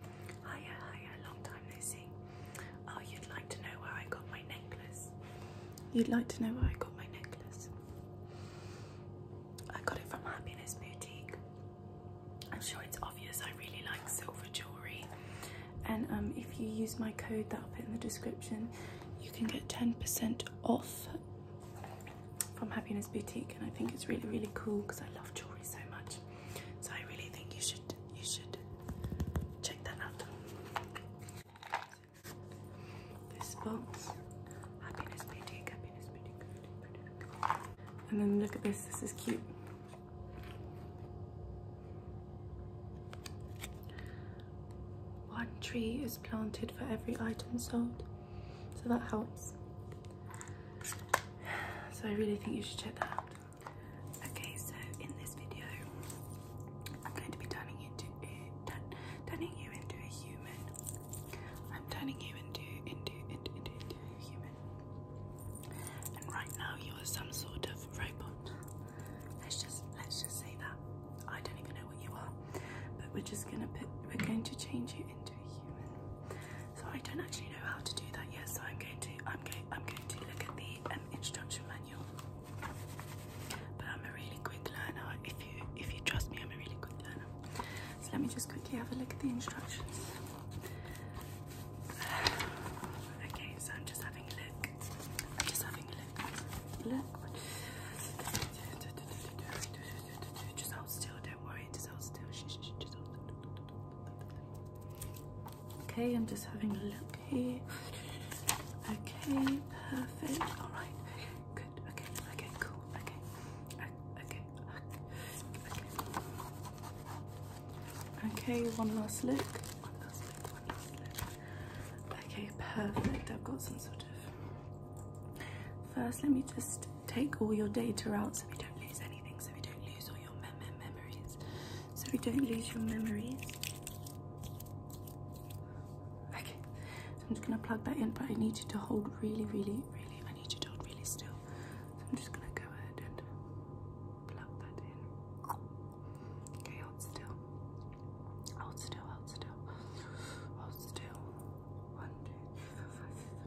Hiya, hiya, long time no see. Oh, you'd like to know where I got my necklace? You'd like to know where I got my necklace? I got it from Happiness Boutique. I'm sure it's obvious I really like silver jewellery. And um, if you use my code that I'll put in the description, you can get 10% off from Happiness Boutique. And I think it's really, really cool because I love jewellery so much. So I really think you should you should check that out. This box, happiness boutique, happiness and then look at this. This is cute. One tree is planted for every item sold, so that helps. So I really think you should check that out. Okay, so in this video, I'm going to be turning into turning you into a human. I'm turning you into into into into, human. And right now, you are some sort of robot. Let's just let's just say that I don't even know what you are, but we're just gonna put we're going to change you into a human. So I don't actually know how to do that yet. So I'm going to I'm going I'm going to look at the um, instruction manual. But I'm a really quick learner. If you if you trust me, I'm a really good learner. So let me just quickly have a look at the instructions. Okay, so I'm just having a look. just having a look. Look. Just hold still. Don't worry. Just hold still. Shh, shh, just hold. Okay, I'm just having a look here. Okay, perfect. All right, good. Okay, okay, cool. Okay, okay, okay. Okay, one last look. One last look. Okay, perfect. I've got some sort of. First, let me just take all your data out so we don't lose anything, so we don't lose your memories so we don't lose your memories. Okay, I'm just gonna plug that in, but I need you to hold really, really, really, I need you to hold really still. So I'm just gonna go ahead and plug that in. Okay, hold still. Hold still, hold still. Hold still. One, two, three, four, five, six,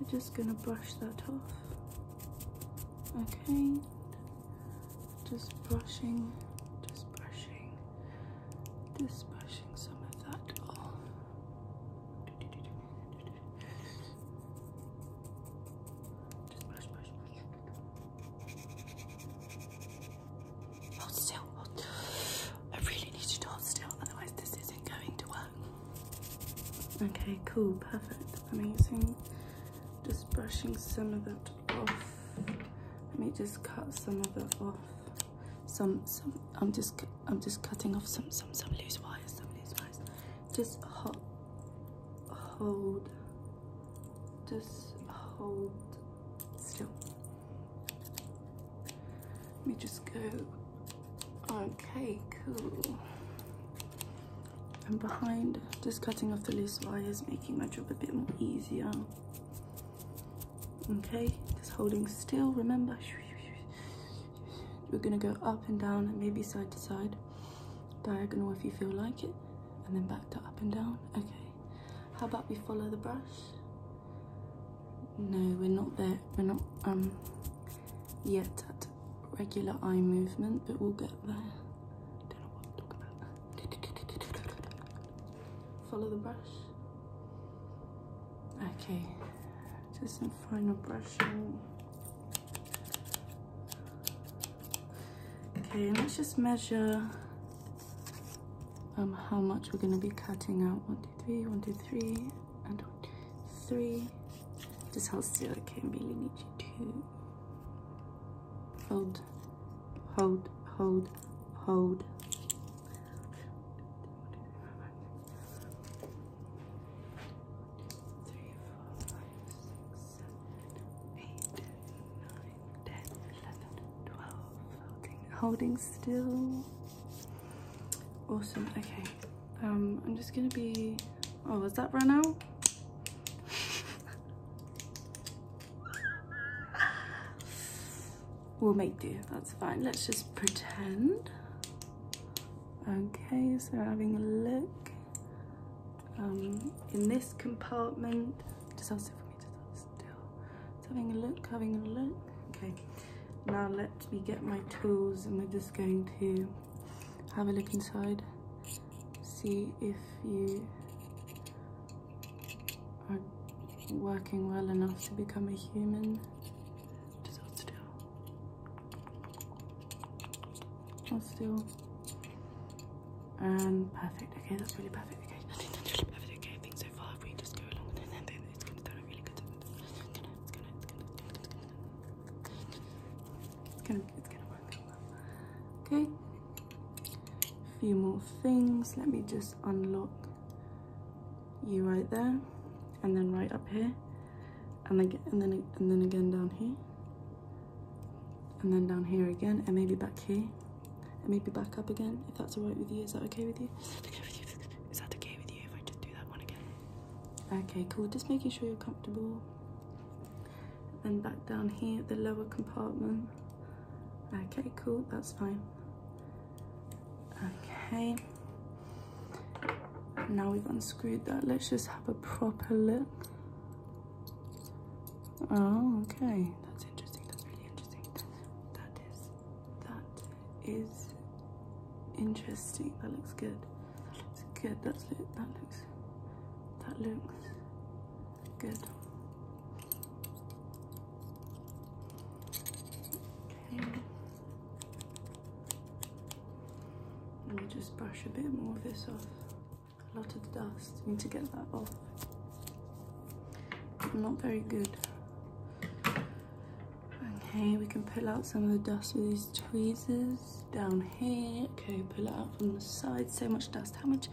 We're just going to brush that off. Okay, just brushing, just brushing, just brushing some of that off. still. I really need you to hold still, otherwise this isn't going to work. Okay, cool, perfect, amazing. Just brushing some of that off. Let me just cut some of it off. Some, some. I'm just, I'm just cutting off some, some, some loose wires, some loose wires. Just hot, hold. Just hold still. Let me just go. Okay, cool. I'm behind, just cutting off the loose wires, making my job a bit more easier. Okay, just holding still, remember. We're gonna go up and down maybe side to side, diagonal if you feel like it, and then back to up and down. Okay, how about we follow the brush? No, we're not there. We're not um yet at regular eye movement, but we'll get there. Don't know what I'm talking about. Follow the brush. Okay, just some final brushing. Okay, let's just measure um, how much we're going to be cutting out. One, two, three, one, two, three and one, three. Just hold still, okay, I really need you to hold, hold, hold, hold. Three, four, five, six, seven, eight, nine, ten, eleven, twelve. holding still. Awesome, okay. Um, I'm just gonna be, oh, was that run out? we'll make do, that's fine. Let's just pretend. Okay, so having a look. Um, in this compartment, just ask it for me to still. having a look, having a look okay now let me get my tools, and we're just going to have a look inside see if you are working well enough to become a human just hold still hold still and perfect okay that's really perfect okay I think so far we just go along with it then it's going to sound really good it's gonna, it's gonna, it's gonna, work Okay. A few more things. Let me just unlock you right there, and then right up here, and then and then and then again down here, and then down here again, and maybe back here, and maybe back up again. If that's alright with you, is that okay with you? Is that okay with you if I just Okay, cool. Just making sure you're comfortable. And back down here, the lower compartment. Okay, cool. That's fine. Okay. Now we've unscrewed that. Let's just have a proper look. Oh, okay. That's interesting. That's really interesting. That is that is interesting. That looks good. That looks good. That looks. That looks good. Okay. Let me just brush a bit more of this off. A lot of dust. need to get that off. not very good Okay, we can pull out some of the dust with these tweezers down here. Okay, pull it out from the side. So much dust. How much,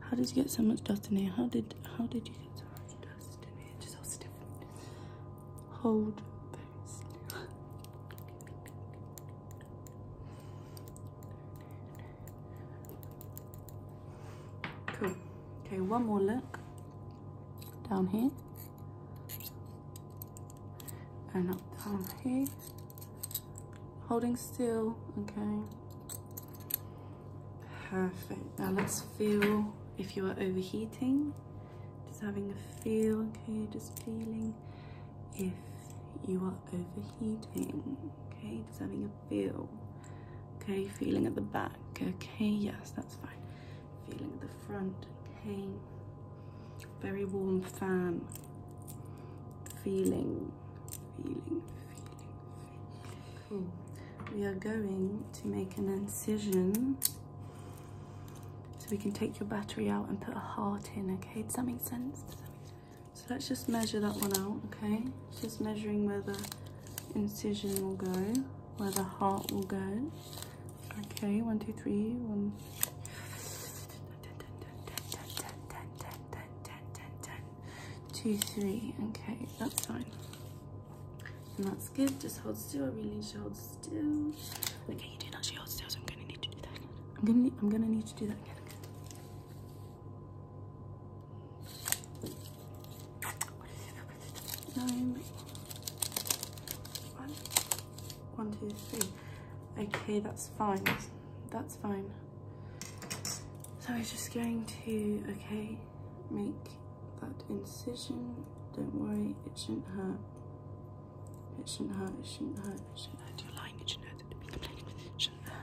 how did you get so much dust in here? How did, how did you get so much dust in here? Just hold stiff. Hold Okay, one more look down here and up down here holding still okay perfect now let's feel if you are overheating just having a feel okay just feeling if you are overheating okay just having a feel okay feeling at the back okay yes that's fine feeling the front, okay. Very warm fan feeling, feeling, feeling, feeling. Cool. We are going to make an incision so we can take your battery out and put a heart in, okay? Does that make sense? So let's just measure that one out, okay? Just measuring where the incision will go, where the heart will go. Okay, one, two, three, one. okay, that's fine. And that's good, just hold still, I really need hold still. Okay, you did actually hold still, so I'm gonna need to do that again. I'm gonna, I'm gonna need to do that again nine, one, one, two, three. Okay, that's fine. That's fine. So I'm just going to, okay, make that incision. Don't worry, it shouldn't hurt. It shouldn't hurt, it shouldn't hurt, it shouldn't hurt. You're lying, it shouldn't hurt. It shouldn't hurt. It shouldn't hurt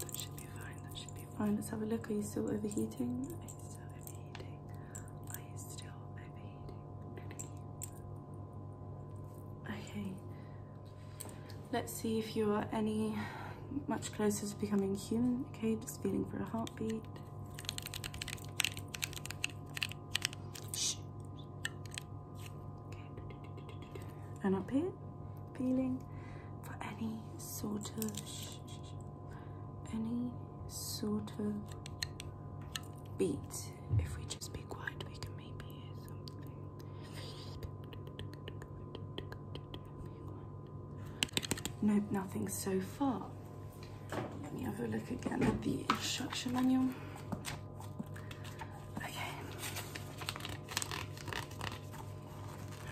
That should be fine. That should be fine. That should be fine. Let's have a look. Are you still overheating? Are you still overheating? Are you still overheating? Okay. Let's see if you are any much closer to becoming human. Okay, just feeling for a heartbeat. Shh. Okay. And up here. Feeling for any sort of any sort of beats. If we just be quiet, we can maybe hear something. No, nothing so far. Let me have a look again at the instruction manual. Okay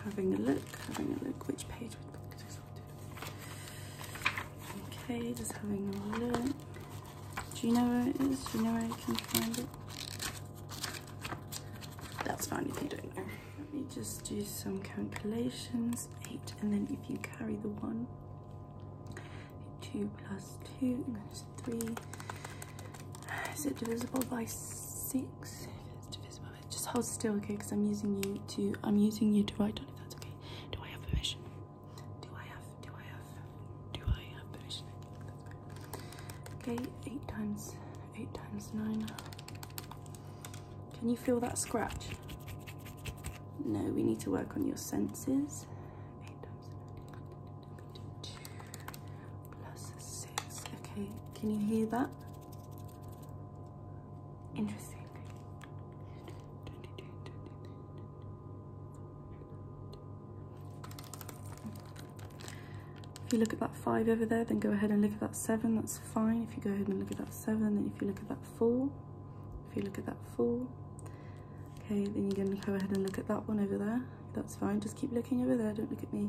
having a look, having a look, which page would be sorted? Okay, just having a look. Do you know where it is? Do you know where I can find it? That's fine if you don't know. Let me just do some calculations. Eight, and then if you carry the one, two plus two is three. Is it divisible by six? If it's divisible just hold still, okay? Because I'm using you to, I'm using you to write on if that's okay. Do I have permission? Do I have, do I have, do I have permission? Okay, eight times, eight times nine. Can you feel that scratch? No, we need to work on your senses. Eight times nine. Plus six. Okay, can you hear that? Interesting. If you look at that five over there, then go ahead and look at that seven, that's fine. If you go ahead and look at that seven, then if you look at that four, if you look at that four, okay, then you're gonna go ahead and look at that one over there. That's fine, just keep looking over there, don't look at me.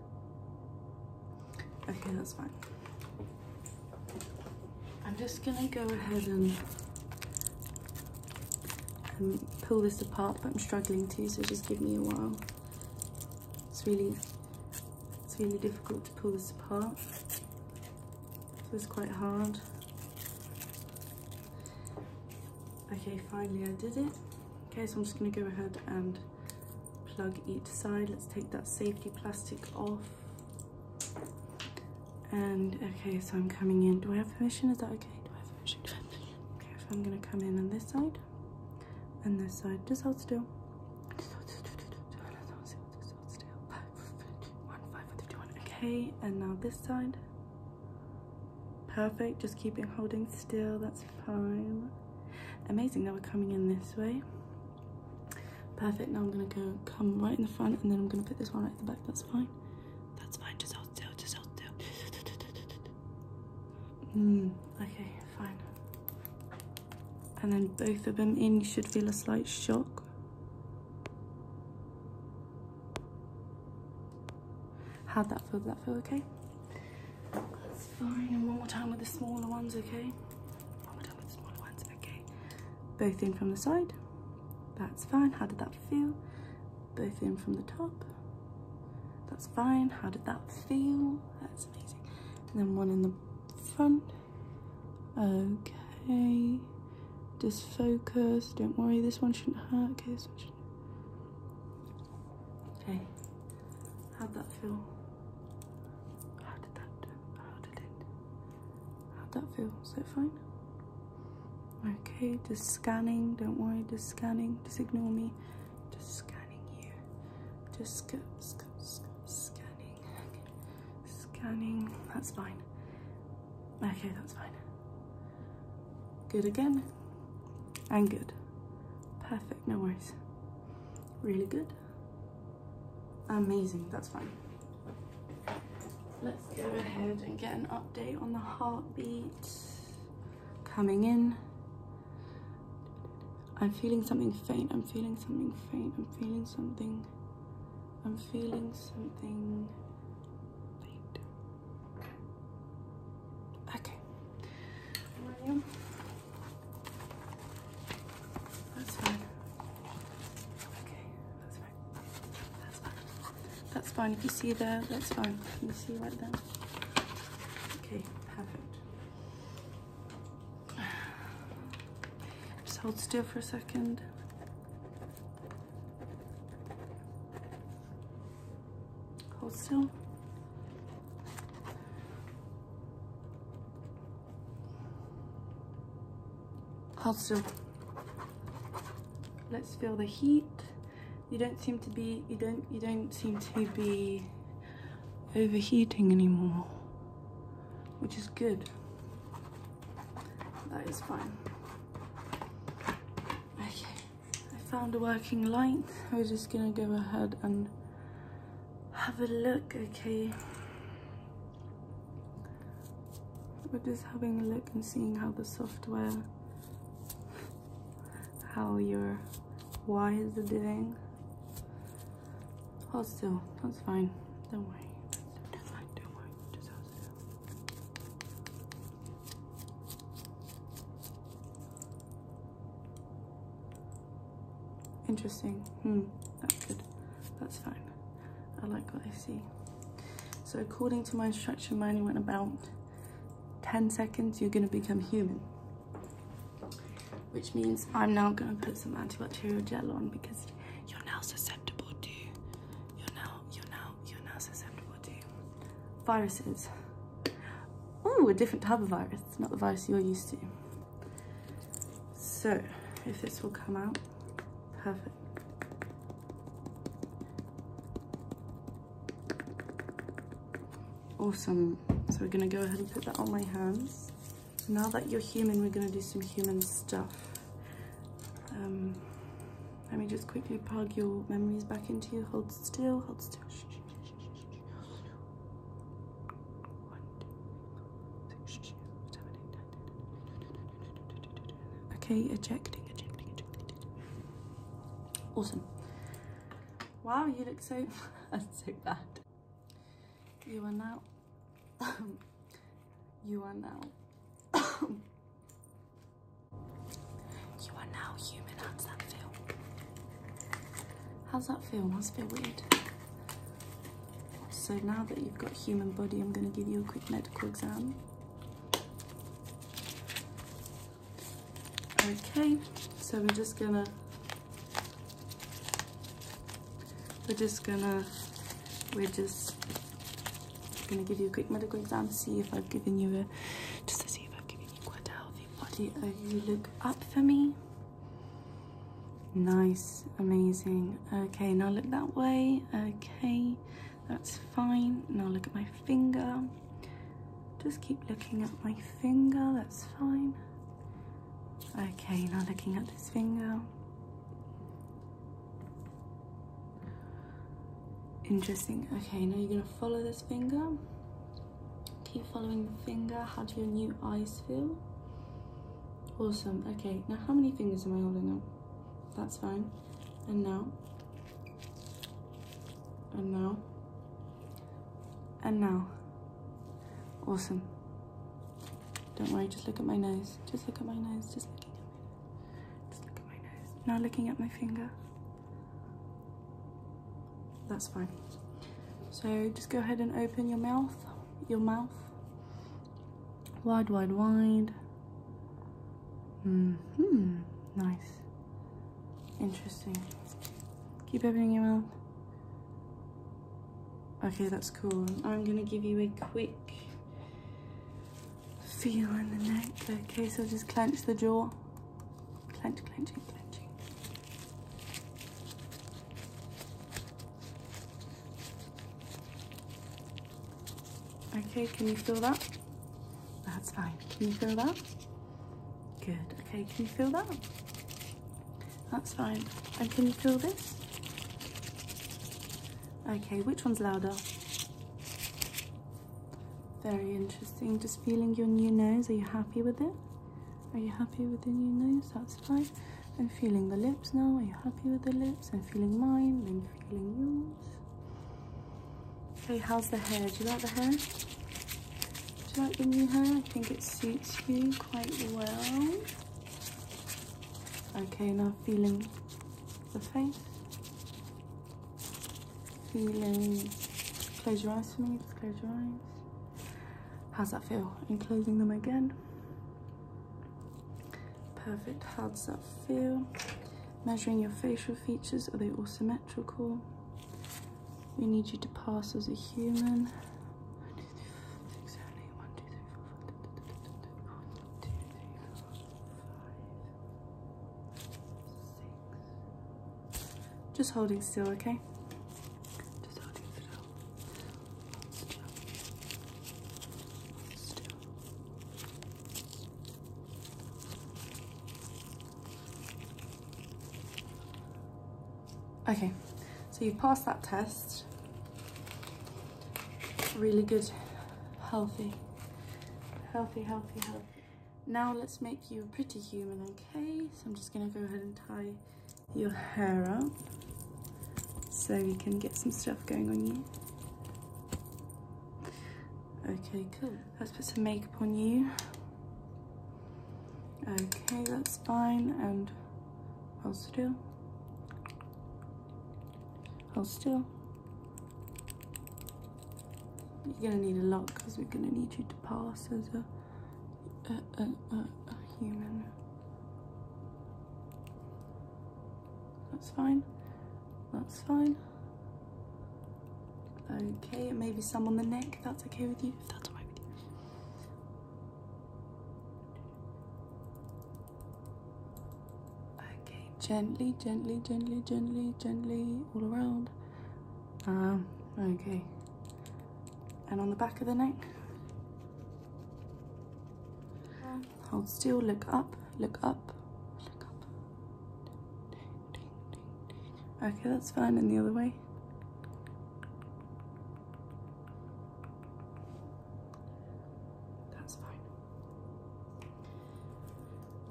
Okay, that's fine. I'm just gonna go ahead and, pull this apart, but I'm struggling to, so just give me a while. It's really, it's really difficult to pull this apart. So it's quite hard. Okay, finally I did it. Okay, so I'm just gonna go ahead and plug each side. Let's take that safety plastic off. And okay, so I'm coming in. Do I have permission? Is that okay? Do I have permission? Okay, so I'm gonna come in on this side and this side. Just hold still. Just hold Okay, and now this side. Perfect. Just keep it holding still. That's fine. Amazing that we're coming in this way. Perfect, now I'm gonna go come right in the front and then I'm gonna put this one at the back, that's fine. That's fine, just hold just hold just Mm, okay, fine. And then both of them in, you should feel a slight shock. How'd that feel? Did that feel okay? That's fine. And one more time with the smaller ones, okay? One more time with the smaller ones, okay? Both in from the side. That's fine. How did that feel? Both in from the top. That's fine. How did that feel? That's amazing. And then one in the front. Okay. Just focus. Don't worry. This one shouldn't hurt. Okay. Okay. How'd that feel? How did that How did it? How'd that feel? Is that fine? Okay, just scanning. Don't worry, just scanning. Just ignore me. Just scanning here. Just go, go, go, scanning. Scanning. That's fine. Okay, that's fine. Good again. And good. Perfect, no worries. Really good. Amazing, that's fine. Let's go ahead and get an update on the heartbeat coming in. I'm feeling something faint, I'm feeling something faint, I'm feeling something, I'm feeling something faint. Okay. That's fine. Okay, that's fine. That's fine. If you see there, that's fine. Can you see right there? Okay, perfect. Just hold still for a second. Hold still. Hold still. Let's feel the heat. You don't seem to be, you don't, you don't seem to be overheating anymore, which is good. That is fine. Okay, I found a working light. We're just gonna go ahead and have a look, okay? We're just having a look and seeing how the software, how your why is it doing. Hold oh, still, that's fine, don't worry. Interesting. Hmm, that's good. That's fine. I like what I see. So according to my instruction manual, in about 10 seconds, you're gonna become human. Which means I'm now gonna put some antibacterial gel on because you're now susceptible to, you're now, you're now, you're now susceptible to viruses. Oh, a different type of virus. It's not the vice you're used to. So if this will come out, perfect. Awesome. So we're gonna go ahead and put that on my hands. Now that you're human, we're gonna do some human stuff. Um, let me just quickly plug your memories back into you. Hold still, hold still. Okay, ejecting, ejecting, ejecting. Awesome. Wow, you look so so bad. You are now you are now you are now human hands that feel How's that feel? That's a bit weird. So now that you've got human body, I'm going to give you a quick medical exam. Okay, so we're just gonna we're just gonna we're just gonna give you a quick medical exam to see if I've given you a just to see if I've given you quite a health body uh, you look up for me. Nice, amazing. Okay, now look that way. Okay, that's fine. Now look at my finger. Just keep looking at my finger, that's fine. Okay, now looking at this finger. Interesting. Okay, now you're gonna follow this finger. Keep following the finger. How do your new eyes feel? Awesome. Okay, now how many fingers am I holding up? That's fine. And now. And now. And now. Awesome. Don't worry, just look at my nose. Just look at my nose. Just looking look at my nose. Now looking at my finger. That's fine. So just go ahead and open your mouth, your mouth. Wide, wide, wide. Mm hmm. Nice. Interesting. Keep opening your mouth. Okay, that's cool. I'm gonna give you a quick feel in the neck. Okay, so just clench the jaw. Clench, clenching, clenching. Okay, can you feel that? That's fine. Can you feel that? Good. Okay, can you feel that? That's fine. And can you feel this? Okay, which one's louder? Very interesting. Just feeling your new nose. Are you happy with it? Are you happy with the new nose? That's fine. I'm feeling the lips now. Are you happy with the lips? I'm feeling mine. I'm feeling yours. Okay, how's the hair? Do you like the hair? Do you like the new hair? I think it suits you quite well. Okay, now feeling the face. Feeling. Close your eyes for me. Just close your eyes. How's that feel? And closing them again. Perfect. How does that feel? Measuring your facial features, are they all symmetrical? We need you to pass as a human. Six, just holding still, okay? Okay, so you've passed that test. Really good, healthy, healthy, healthy, healthy. Now let's make you a pretty human, okay? So I'm just gonna go ahead and tie your hair up so you can get some stuff going on you. Okay, cool. Let's put some makeup on you. Okay, that's fine. And hold still. Hold still. You're going to need a lot because we're going to need you to pass as a, human. That's fine. That's fine. Okay, maybe some on the neck, that's okay with you, that's alright with you. Okay, gently, gently, gently, gently, gently, all around. Ah, okay. And on the back of the neck. Hold still, look up, look up, look up. Okay, that's fine, and the other way. That's fine.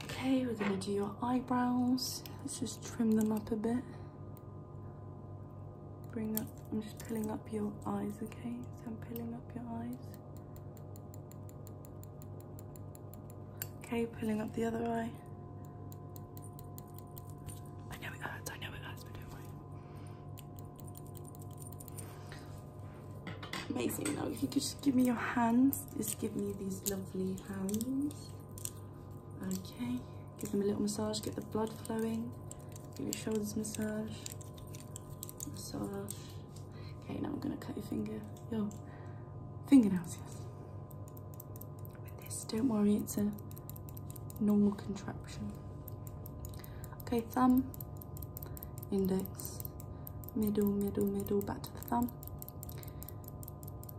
Okay, we're gonna do your eyebrows. Let's just trim them up a bit bring up, I'm just pulling up your eyes, okay? So I'm pulling up your eyes. Okay, pulling up the other eye. I know it hurts, I know it hurts, but don't worry. Amazing, now if you could just give me your hands, just give me these lovely hands. Okay, give them a little massage, get the blood flowing. Give your shoulders massage. Massage. Okay, now I'm gonna cut your finger. Your fingernails, yes. With this, don't worry, it's a normal contraction. Okay, thumb, index, middle, middle, middle, back to the thumb.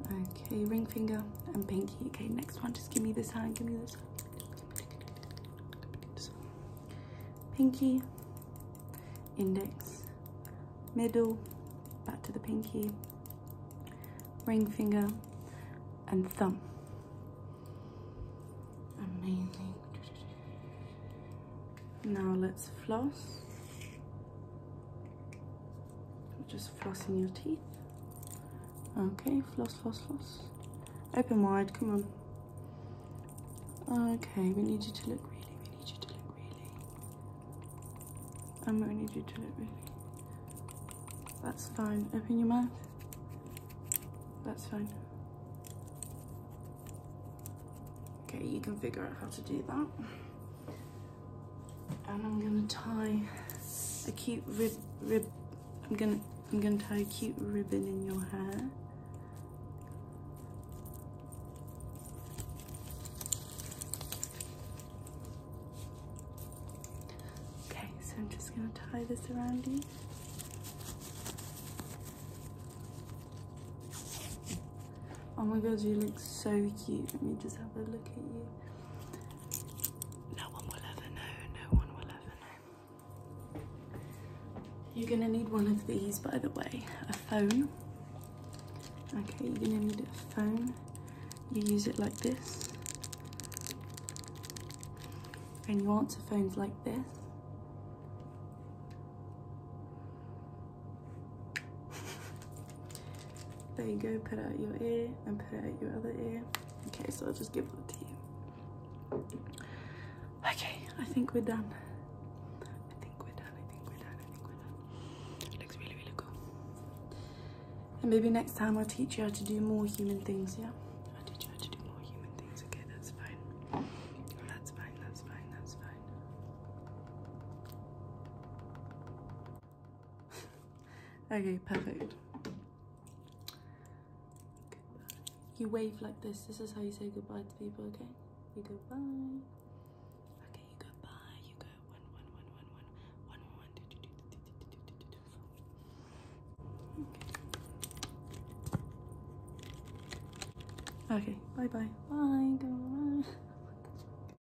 Okay, ring finger and pinky. Okay, next one, just give me this hand, give me this hand. Pinky, index, middle, back to the pinky, ring finger, and thumb. Amazing. Now let's floss just flossing your teeth okay floss floss floss open wide come on okay we need you to look really we need you to look really I'm gonna need you to look really that's fine open your mouth that's fine okay you can figure out how to do that and I'm gonna tie a cute rib rib I'm gonna I'm gonna tie a cute ribbon in your hair okay so I'm just gonna tie this around you oh my god you look so cute let me just have a look at you no one will ever know, no one will ever know. You're gonna need one of these, by the way, a phone. Okay, you're gonna need a phone. You use it like this. And you answer phones like this. There you go, put out your ear and put out your other ear. Okay, so I'll just give that to you. Okay, I think we're done. I think we're done, I think we're done, I think we're done. Looks really, really cool. And maybe next time I'll teach you how to do more human things, yeah? I'll teach you how to do more human things, okay, that's fine. That's fine, that's fine, that's fine. okay, perfect. You wave like this. This is how you say goodbye to people, okay? You go Okay, you go bye. You go one, one, one, one, one, one, one, one, two, two, two, two, two, two, two, two, two, four. Okay, bye bye. Bye, go bye.